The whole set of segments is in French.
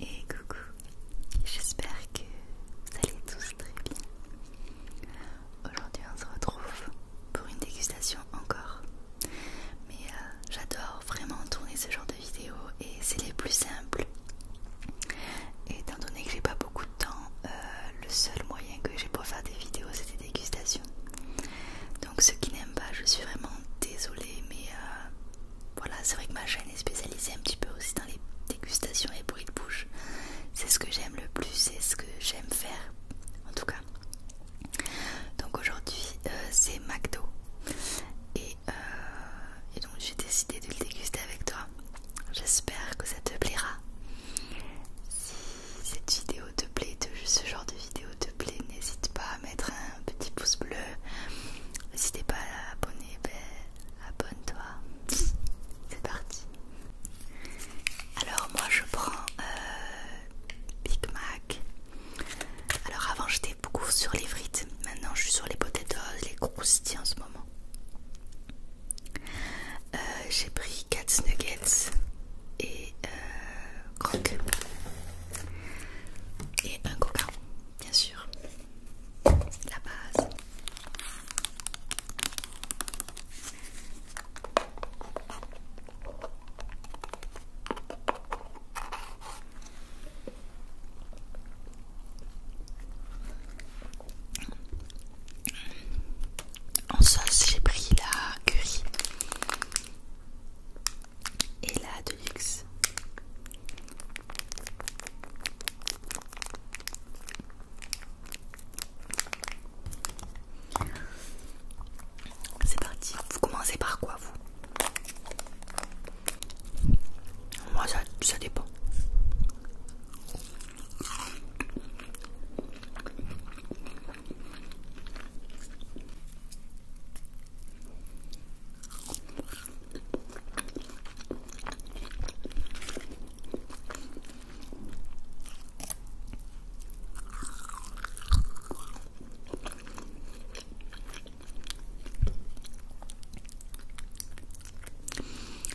Et coucou, j'espère que vous allez tous très bien. Aujourd'hui on se retrouve pour une dégustation encore. Mais euh, j'adore vraiment tourner ce genre de vidéos et c'est les plus simples. Et étant donné que j'ai pas beaucoup de temps, euh, le seul moyen que j'ai pour faire des vidéos c'est des dégustations. Donc ceux qui n'aiment pas, je suis vraiment désolée mais... Euh, voilà, c'est vrai que ma chaîne est spécialisée un petit peu aussi dans les dégustations et bruits de bouche. C'est ce que j'aime le plus, c'est ce que j'aime faire en tout cas. Donc aujourd'hui euh, c'est McDo euh, et, donc j'ai décidé de le déguster avec toi. J'espère que ça te plaira. Si cette vidéo te plaît, ce genre de vidéo te plaît, n'hésite pas mettre un petit pouce bleu. n'hésitez pas à l'abonner ben, abonne-toi. C'est parti. Alors moi je prends euh, Big Mac. Alors avant j'étais beaucoup sur les frites. Maintenant je suis sur les potatoes, les croustilles en ce moment. Euh, j'ai pris 4 nuggets et euh, croque et un coca bien sûr, la base. En sauce, j'ai pris la curry et la de luxe C'est parti, vous commencez par quoi vous Moi ça dépend.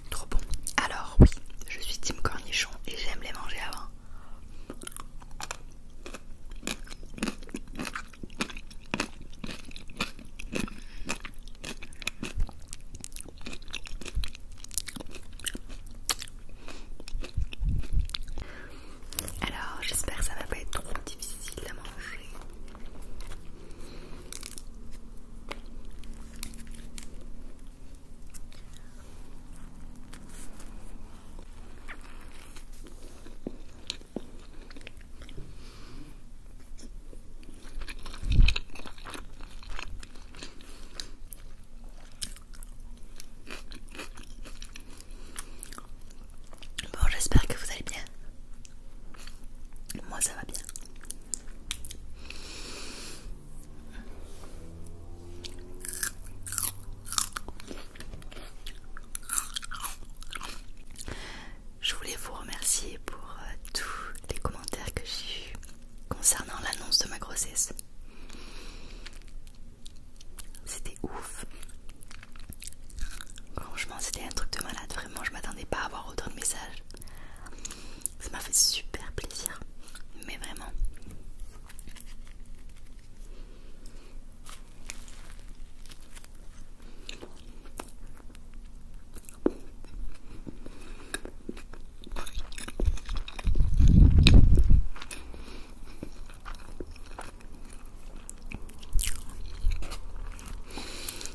Trop bon. Alors oui, je suis tim cornichon et j'aime les manger avant. Alors, j'espère que ça va pas être trop difficile à manger. Bon, j'espère que vous allez bien. Moi, ça va bien. Je voulais vous remercier pour euh, tous les commentaires que j'ai eus concernant l'annonce de ma grossesse. C'était ouf. Franchement, c'était un truc de malade. Vraiment, je m'attendais pas à avoir autant de messages. Ça m'a fait super plaisir. Mais vraiment.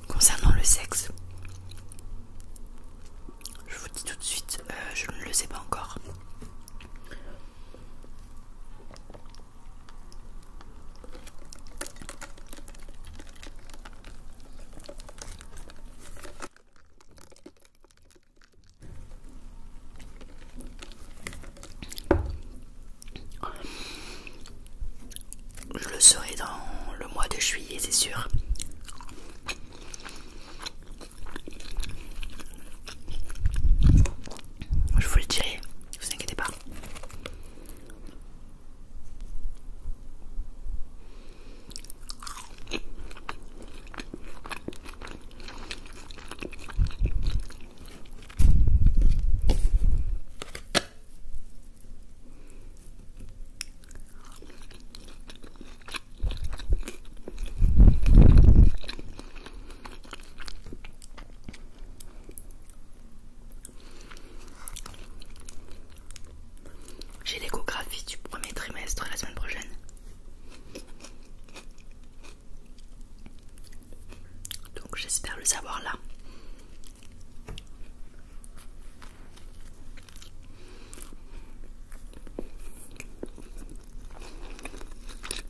Concernant le sexe, je vous dis tout de suite, euh, je ne le sais pas encore. Je le serai dans le mois de juillet, c'est sûr. Je vous le dirai, vous inquiétez pas. J'ai l'échographie du premier trimestre la semaine prochaine. Donc j'espère le savoir là.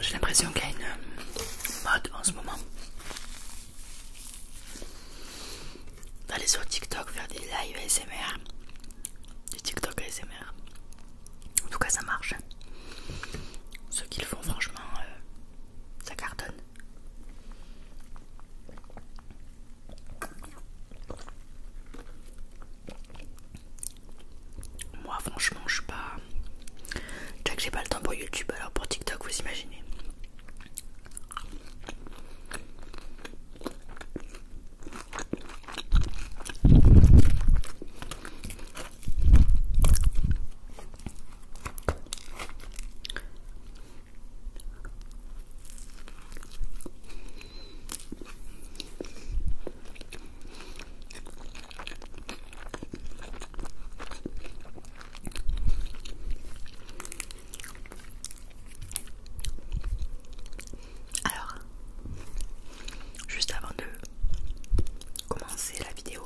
J'ai l'impression qu'il y a euh, une mode en ce moment d'aller sur TikTok faire des live ASMR, des TikTok ASMR. En tout cas, ça marche. Ceux qui le font, franchement, euh, ça cartonne. Moi, franchement, je pas. j'ai pas le temps pour YouTube, alors pour TikTok, vous imaginez. Alors, juste avant de commencer la vidéo,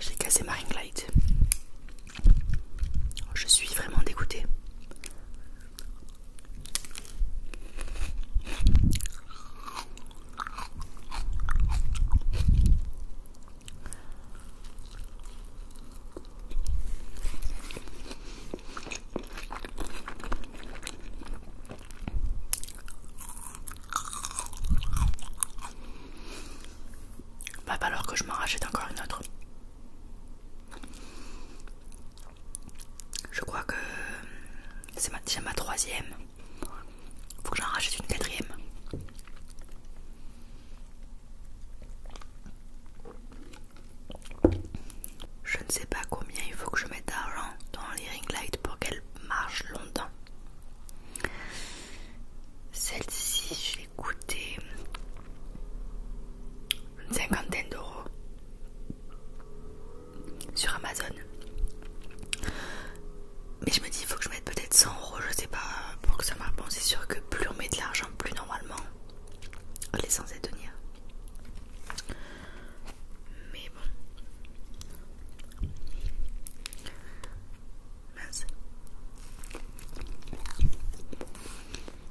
j'ai cassé ma ring light. Je suis vraiment dégoûtée. Va bah, alors que je m'en rachète encore une autre. Je crois que c'est déjà ma troisième. Faut que j'en rachète une quatrième. Je ne sais pas combien il faut que je mette d'argent dans les ring lights pour qu'elles marchent longtemps. Celle-ci, je l'ai coûté une cinquantaine d'euros sur Amazon. Mais je me dis, il faut que je mette peut-être 100 euros, je sais pas, pour que ça marche. Bon, c'est sûr que plus on met de l'argent, plus normalement on est censé tenir. Mais bon. Mince.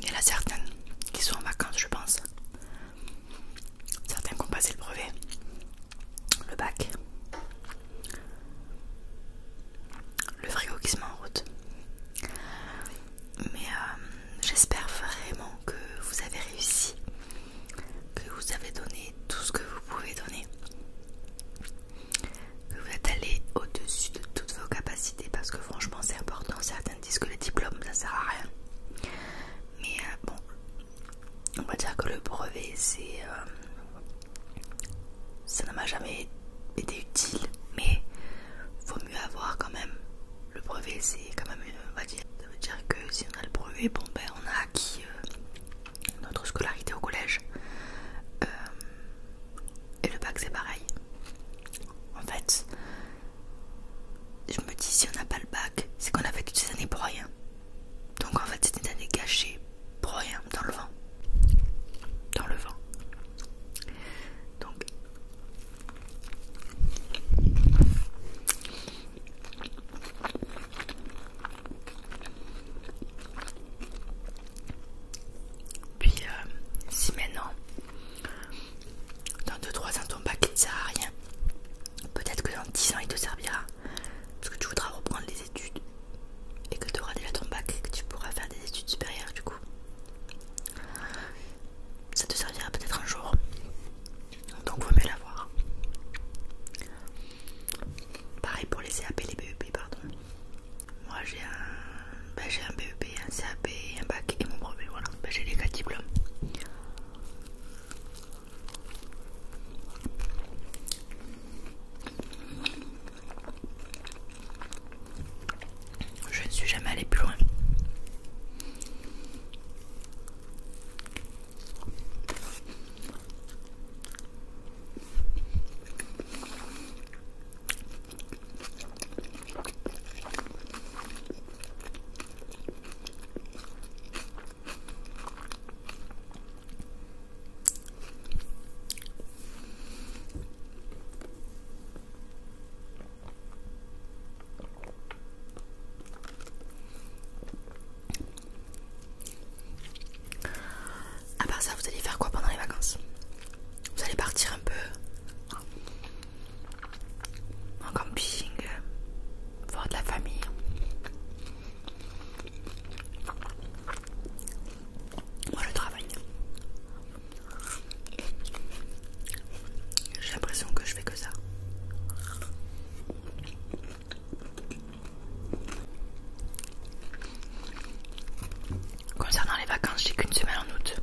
Il y en a certaines qui sont en vacances, je pense. Certains qui ont passé le brevet, le bac, le frigo qui se met en route. Mais euh, j'espère vraiment que vous avez réussi, que vous avez donné tout ce que vous pouvez donner, que vous êtes allé au-dessus de toutes vos capacités parce que franchement c'est important. Certains disent que les diplômes ça sert à rien. Mais euh, bon, on va dire que le brevet c'est euh, ça ne m'a jamais été utile mais il vaut mieux avoir quand même le brevet c'est quand même dire ça veut dire que si on a le brevet bon ben on a acquis euh, notre scolarité au collège euh, et le bac c'est pareil en fait je me dis si on n'a pas le bac c'est qu'on a fait toutes ces années pour rien donc en fait c'était une année pour rien dans le vent. Dans le vent. Donc puis euh, si maintenant dans 2-3 ans ton paquet, ne sert à rien Peut-être que dans 10 ans il te servira parce que tu voudras reprendre les études et que tu auras déjà ton bac et que tu pourras faire des études supérieures du coup. Ça te servira peut-être un jour. Donc vaut mieux l'avoir. Pareil pour les CAP les BEP pardon. Moi j'ai un, bah, un BEP, un CAP, un bac et mon brevet, voilà. Bah, j'ai les quatre diplômes. Je ne suis jamais allé plus loin. À part ça, vous allez faire quoi pendant les vacances Vous allez partir un peu en camping, voir de la famille. Moi je travaille. J'ai l'impression que je fais que ça. Concernant les vacances, j'ai qu'une semaine en août.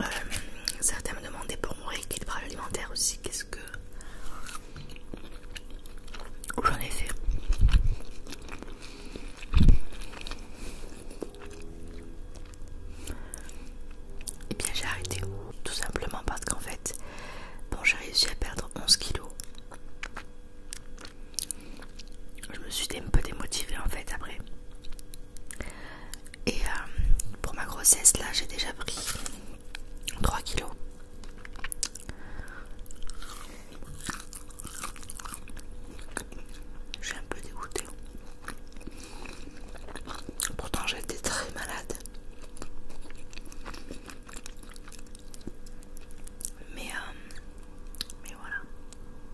Euh, certains me demandaient pour mon rééquilibrage alimentaire aussi qu'est-ce que j'en ai fait. Et eh bien j'ai arrêté tout simplement parce qu'en fait bon j'ai réussi à perdre 11 kilos. Je me suis un peu démotivée en fait après. Et euh, pour ma grossesse, là, j'ai déjà pris 3 kilos. Je suis un peu dégoûtée. Pourtant, j'étais très malade. Mais, euh, mais voilà. On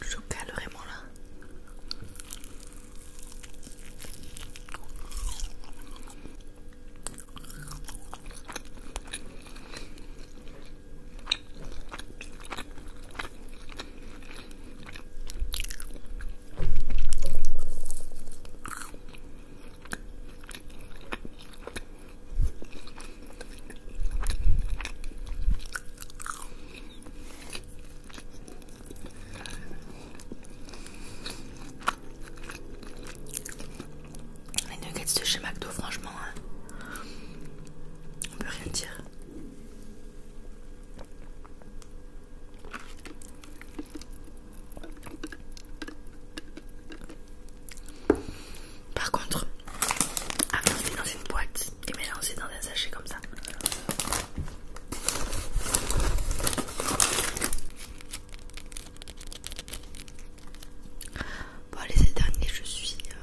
le chocale vraiment là. Les nuggets de chez McDo, franchement, hein, on peut rien dire. Par contre, avancer dans une boîte et mélanger dans un sachet comme ça. Bon, les derniers, je suis. Euh,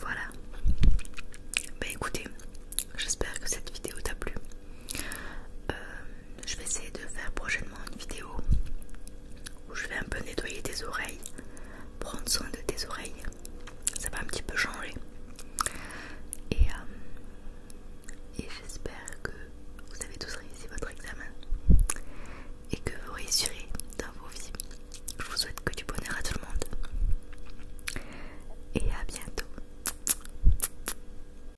Voilà. Ben écoutez, j'espère que cette vidéo t'a plu. Euh, je vais essayer de faire prochainement une vidéo où je vais un peu nettoyer tes oreilles, prendre soin de tes oreilles. Ça va un petit peu changer. Et, euh, et j'espère que vous avez tous réussi votre examen et que vous réussirez dans vos vies. Je vous souhaite que du bonheur à tout le monde. Et à bientôt.